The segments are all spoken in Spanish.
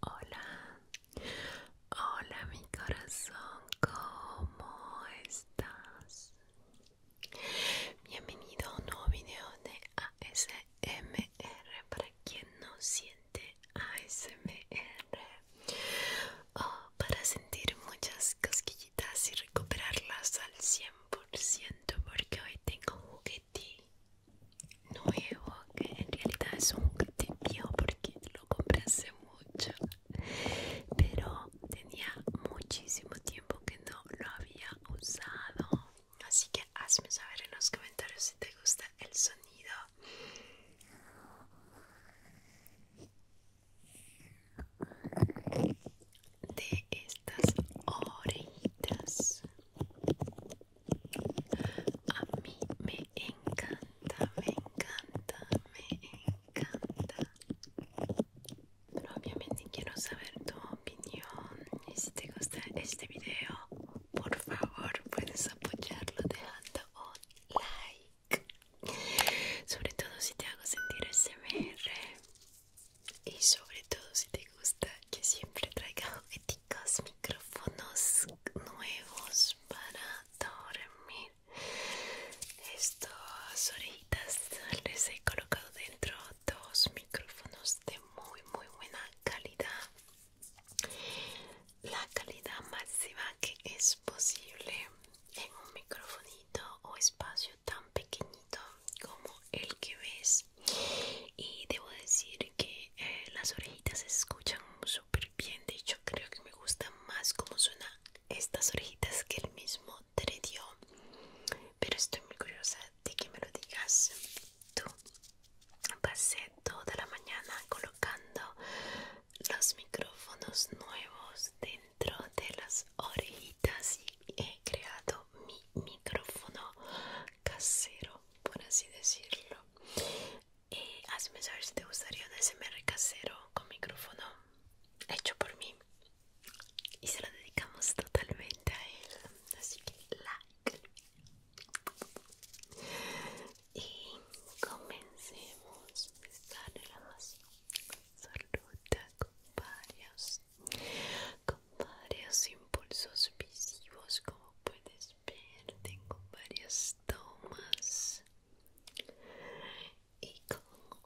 Hola, hola mi corazón, ¿cómo estás? Bienvenido a un nuevo video de ASMR para quien no siente ASMR o oh, para sentir muchas cosquillitas y recuperarlas al 100% porque hoy tengo juguetín nuevo que en realidad es un te porque lo compré hace mucho pero tenía muchísimo tiempo que no lo había usado así que hazme saber en los comentarios si te gusta el sonido de estas orejitas a mí me encanta, me encanta, me encanta. Pero obviamente quiero saber tu opinión. Y si te gusta este video, por favor puedes apoyarlo dejando un este like. Sobre todo si te hago sentir SMR. Y sobre todo si te gusta que siempre traiga jugueticos, micrófonos nuevos para dormir. Estas orejitas les he colocado dentro dos micrófonos de muy muy buena calidad. La calidad máxima que es posible en un microfonito o espacio tan pequeñito como el que ves y debo decir que eh, las orejitas se escuchan súper bien. De hecho, creo que me gusta más cómo suena estas orejitas que el mismo te Pero estoy muy curiosa de que me lo digas tú. Pasé toda la mañana colocando los micrófonos nuevos dentro de las orejitas y he creado mi micrófono casero, por así decirlo. Eh, hazme saber si te gustaría un SMR casero con micrófono hecho por mí. Y se lo dedicamos totalmente a él. Así que like. Y comencemos esta con varios, con varios impulsos visivos como puedes pero tengo varias tomas y obviamente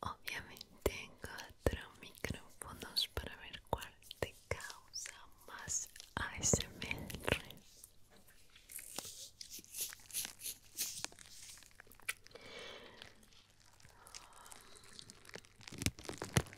obviamente cuatro micrófonos para ver cuál te causa más ASMR.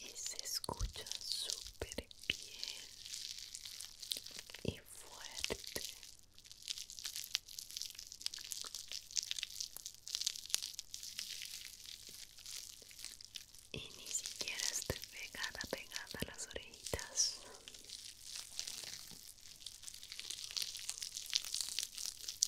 y se escucha súper bien y fuerte y ni siquiera esté pegada pegada a las orejitas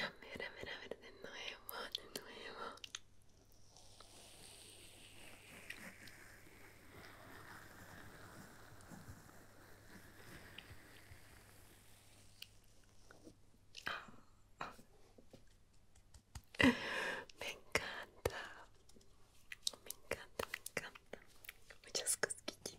A ver, a ver, de nuevo, de nuevo. Me encanta, me encanta, me encanta. Muchas cosquillas.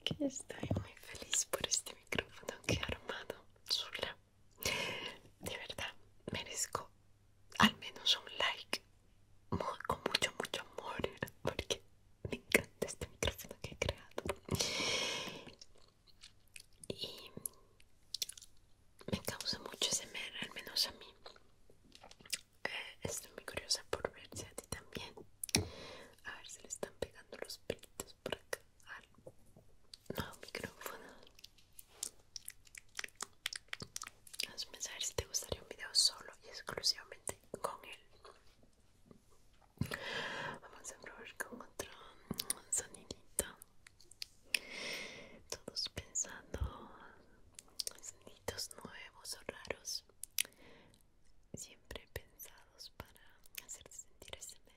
aquí estoy muy feliz por este micrófono que he armado sola. De verdad, merezco al menos un like con mucho, mucho amor porque me encanta este micrófono que he creado. Y me causa mucho semer, al menos a mí. Eh, estoy muy curiosa por ver si a ti también. A ver si le están pegando los pelos por acá. No, micrófono. Hazme saber si te gustaría un video solo y exclusivamente con él. Vamos a probar con otro sonidito. Todos pensando soniditos nuevos o raros siempre pensados para hacerte sentir SMR.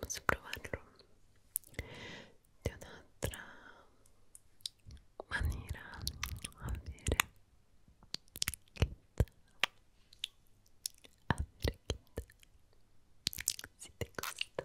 Vamos a probarlo de una otra manera. A ver, ¿qué tal? A ver, ¿qué tal? Si te gusta.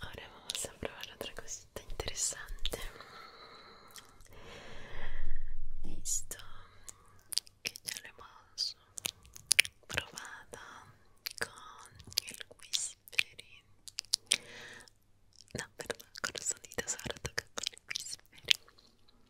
Ora vamos a probar otra cosita interesante. Esto que ya lo hemos probado con el whispering. No, perdón, con los sonidos ahora toca con el whispering.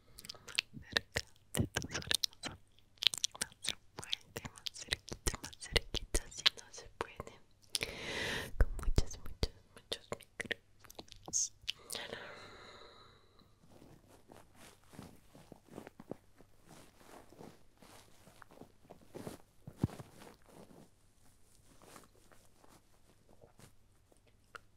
Más cerca de tus más fuerte, más cerquita, más cerquita si no se puede con muchos, muchos, muchos micros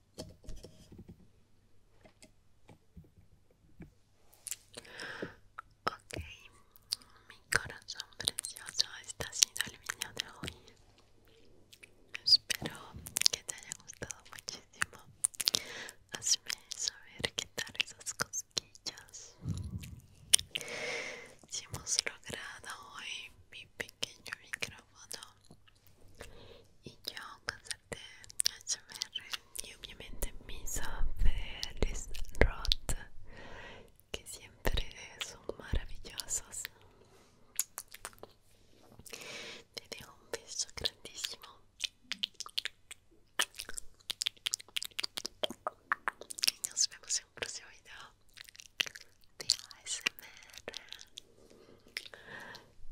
Ok, mi corazón precioso, este ha sido el video de hoy. Espero que te haya gustado muchísimo. Hazme saber qué tal esas cosquillas. Si hemos logrado hoy mi pequeño micrófono y yo con de HMR y obviamente mis Felis Roth que siempre son maravillosos te dejo un beso grandísimo y nos vemos en un próximo video de HMR.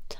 chao